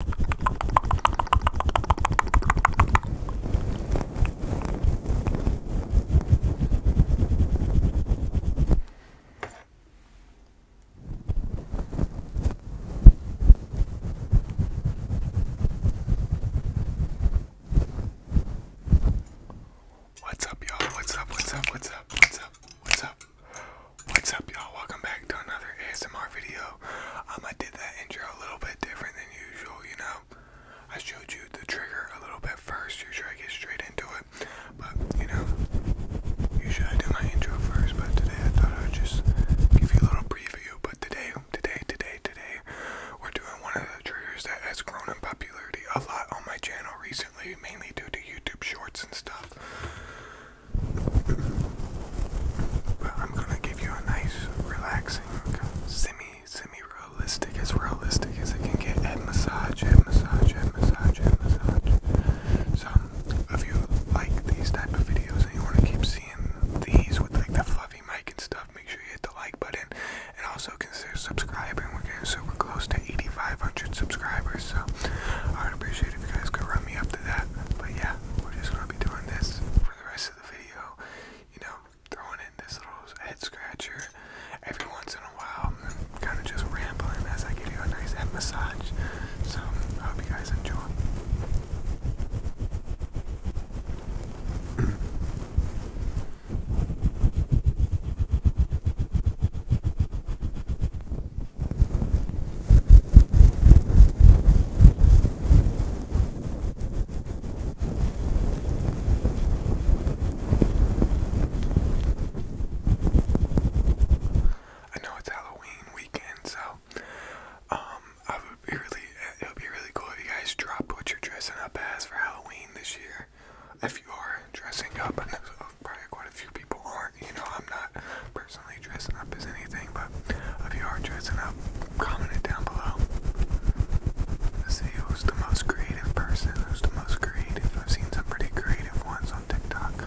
What's up, y'all? What's up? What's up? What's up? What's up? What's up? What's up, y'all? Welcome back to another ASMR video. Um, I did that intro a little bit different than usual, you know. I showed you the trigger a little bit first. Usually I get straight into it, but you know, usually I do my intro first. But today I thought I'd just give you a little preview. But today, today, today, today, we're doing one of the triggers that has grown in popularity a lot on my channel recently, mainly due to YouTube Shorts and stuff but I'm gonna give you a nice, relaxing, semi, semi-realistic, as realistic as it can get head massage, head massage, head massage, head massage. So, if you like these type of videos and you want to keep seeing these with like the fluffy mic and stuff, make sure you hit the like button and also consider subscribing. We're getting super close to 8,500 subscribers, so I would appreciate if you guys could run me up to that. But yeah we're just gonna be doing this for the rest of the video. You know, throwing in this little head scratcher every once in a while. kind of just rambling as I give you a nice head massage. So I hope you guys enjoy. I know it's Halloween weekend, so um, I would be really, it would be really cool if you guys drop what you're dressing up as for Halloween this year. If you are dressing up, probably quite a few people are You know, I'm not personally dressing up as anything, but if you are dressing up, comment it down below. let who's the most creative person, who's the most creative. I've seen some pretty creative ones on TikTok.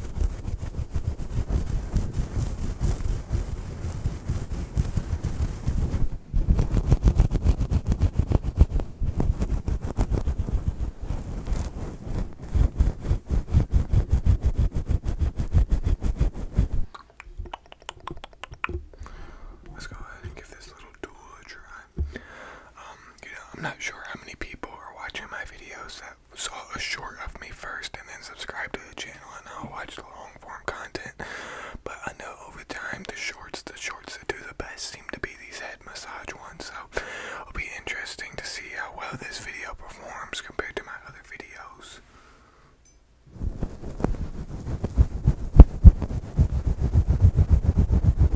Let's go ahead and give this little tool a try. Um, you know, I'm not sure how many people are watching my videos that saw a short of me first and then subscribe to the channel and I'll watch the long form content. But I know over time the shorts, the shorts that do the best seem to be these head massage ones. So it'll be interesting to see how well this video performs compared to my other videos.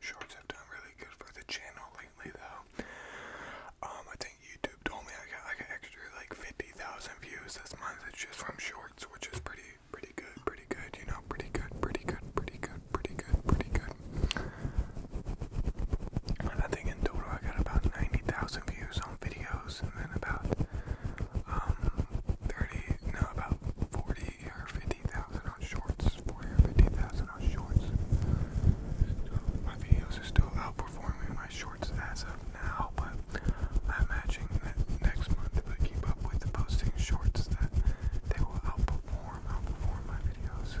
Shorts have done really good for the channel lately, though. Um, I think YouTube told me I got like an extra like 50,000 views this month. It's just from shorts, which is pretty, pretty good, pretty good. You know, pretty good, pretty good, pretty good, pretty good, I think in total I got about 90,000 views on videos, and then about um, 30, no, about 40 or 50 50,000 on shorts. 40 on shorts. My videos are still outperforming my shorts as of now, but I'm that next month to keep up with posting shorts that they will outperform, outperform my videos.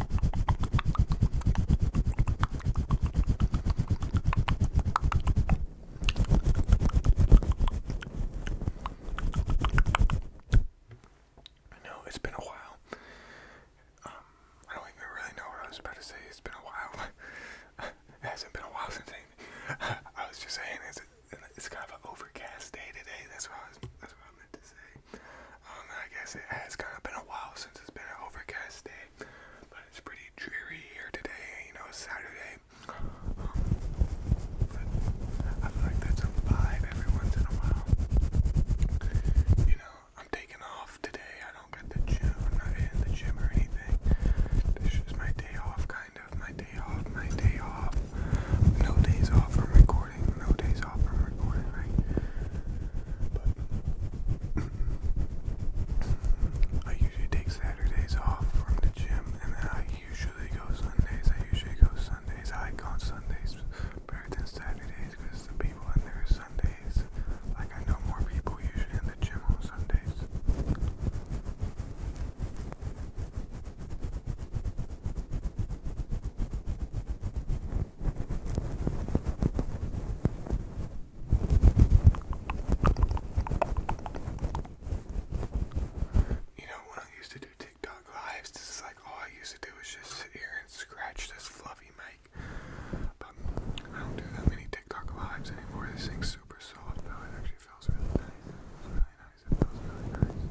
I know it's been a while. Um, I don't even really know what I was about to say. It's been a while. it hasn't been a while since I, I was just saying it's, it's kind of an overcast day today. That's what I was. That's what I meant to say. Um, I guess it has kind of been a while since it's been an overcast day, but it's pretty dreary here today. You know, Saturday. But I like that's vibe every once in a while. You know, I'm taking off today. I don't get the gym. not in the gym or anything. This is my day off, kind of. My day off. My day off. No days off from recording recording, no days off from recording, right? But I usually take Saturdays off from the gym, and then I usually go Sundays. I usually go Sundays. I go on Sundays better than Saturdays because the people in there are Sundays. Like I know more people usually in the gym on Sundays. You know, when I used to do TikTok lives, this is like all I used to do is just sit here and scratch this fluffy mic. But I don't do that many TikTok lives anymore. This thing's super soft though. It actually feels really nice. It feels really nice. It feels really nice.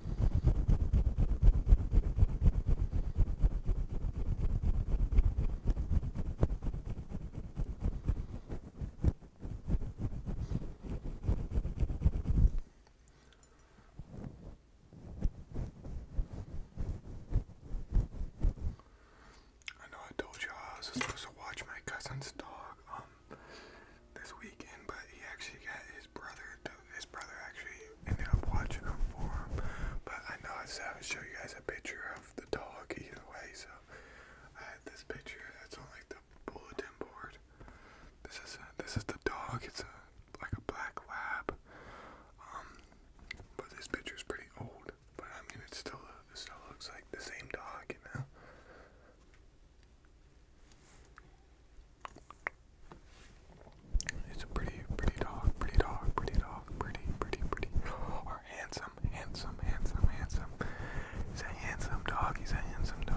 I know I told you I was supposed to watch my cousin's dog um this weekend, but he actually got his brother do his brother actually ended up watching them for him. But I know I said I would show you guys a picture of the dog either way, so I had this picture that's on like the bulletin board. This is a, this is the dog. It's a like a black lab. Um, but this picture's pretty old. But I mean, it still it still looks like the same dog, you know. It's a pretty, pretty dog, pretty dog, pretty dog, pretty, pretty, pretty, or handsome, handsome, handsome, handsome. He's a handsome dog. He's a handsome dog.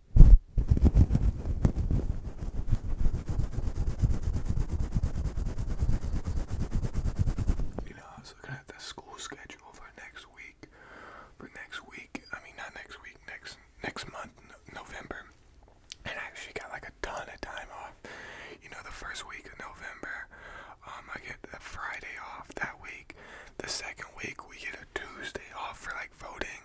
You know, I was looking at the school schedule for next week. For next week, I mean not next week, next next month, November. And I actually got like a ton of time off. You know, the first week of November, um, I get a Friday off that week. The second week, we get a Tuesday off for like voting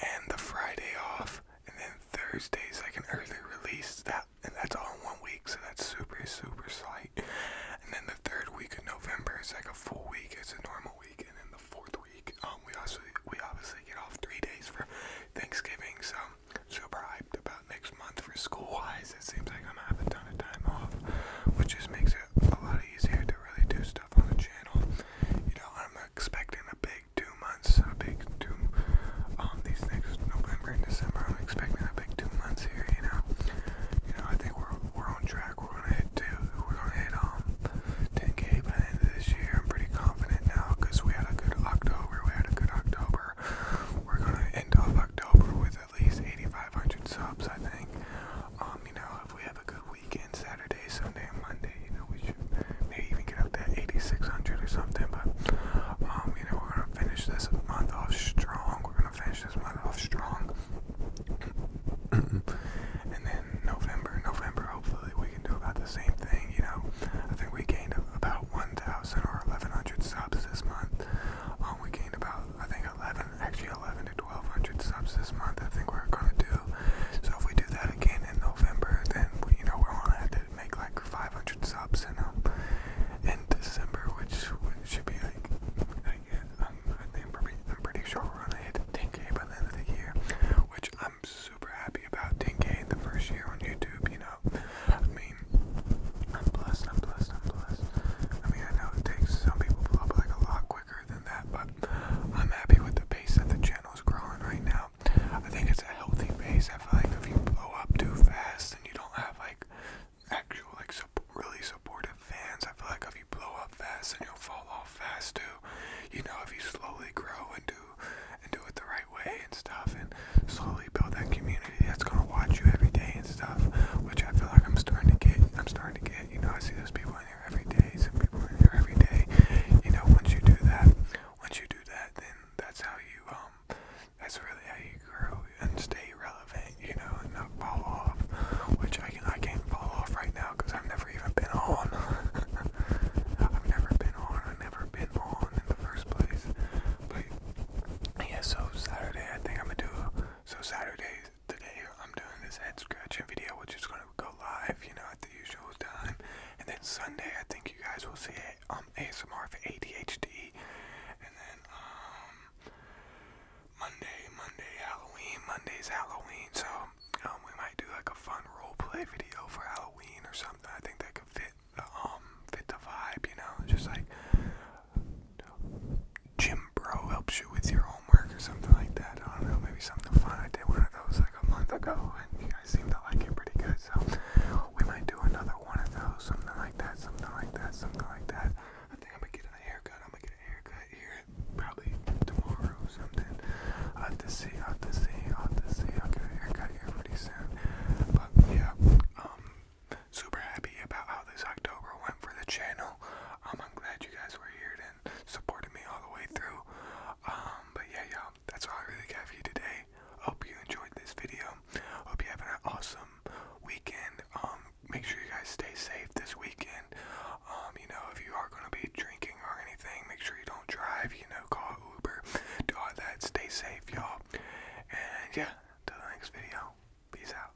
and the Friday off and then Thursday's like an early release that and that's all in one week so that's super super slight. And then the third week of November is like a full week, it's a normal week and then the fourth week um we also we obviously get off three days for Thanksgiving so super hyped about next month for school wise. It seems like I'm gonna have a ton of time off, which just makes it a lot easier to really do stuff on the channel. You know, I'm expecting a big two months, a big two, um, these next November and December, I'm expecting a big two months here, you know. You know, I think we're, we're on track, we're gonna hit two, we're gonna hit, um, 10k by the end of this year, I'm pretty confident now, because we had a good October, we had a good October, we're gonna end off October with at least 8,500 subs, I think, um, you know, if we have a good weekend, Saturday, Sunday, and Monday. You know, we should maybe even get up to 8,600 or something. But, um, you know, we're going to finish this month off strong. We're going to finish this month off strong. and then November, November, hopefully we can do about the same thing. You know, I think we gained about 1,000 or 1,100 subs this month. Um, we gained about, I think, 11, actually 11 to 1,200 subs this month. I think we're gonna do. So if we do that again in November, then we, you know we're gonna have to make like 500 subs in um in December, which should be like I guess, um, I think pretty, I'm pretty sure we're gonna hit 10k by the end of the year, which I'm super happy about. 10k in the first year on YouTube, you know. I mean, I'm blessed. I'm blessed. I'm blessed. I mean, I know it takes some people blow up like a lot quicker than that, but I'm happy with the pace that the channel is growing right now. I think it's a healthy pace. I feel like if you blow up too fast and you don't have like actual like really supportive fans, I feel like if you blow up fast and you'll fall off fast too. You know, if you slowly grow and do and do it the right way and stuff, and slowly build that community that's gonna watch you every day and stuff, which I feel like I'm starting to get. I'm starting to get. You know, I see those people every day, some people are here every day. You know, once you do that, once you do that, then that's how you, um, that's really how you grow and stay relevant, you know, and not fall off, which I, I can't fall off right now because I've never even been on. I've never been on, I've never been on in the first place. But, yeah, so Saturday, I think I'm gonna do, a, so Saturdays, today I'm doing this head scratching video, which is gonna go live, you know, at the usual time. And then Sunday, I think you guys will see it um, ASMR for ADHD. And then um, Monday, Monday Halloween, Monday's Halloween. So um, we might do like a fun role play video for Halloween or something. I think that could fit um fit the vibe, you know, just like. Jim Bro helps you with your homework or something like that. I don't know, maybe something fun. I did one of those like a month ago, and you guys seem to like it pretty good. So we might do another one of those, something like that, something like that, something like that. I think I'm gonna get a haircut. I'm gonna get a haircut here probably tomorrow or something. i have to see. i have to see. i have to see. I'll get a haircut here pretty soon. But yeah, um, super happy about how this October went for the channel. Um, I'm glad you guys were here and supported me all the way through. Um, but yeah, y'all, that's all I really got for you today. Hope you enjoyed this video. Hope you have an awesome weekend. Um, make sure you guys stay safe this weekend. you know, if you are gonna be drinking or anything, make sure you don't drive. You know, call Uber, do all that. Stay safe, y'all. And yeah, till the next video. Peace out.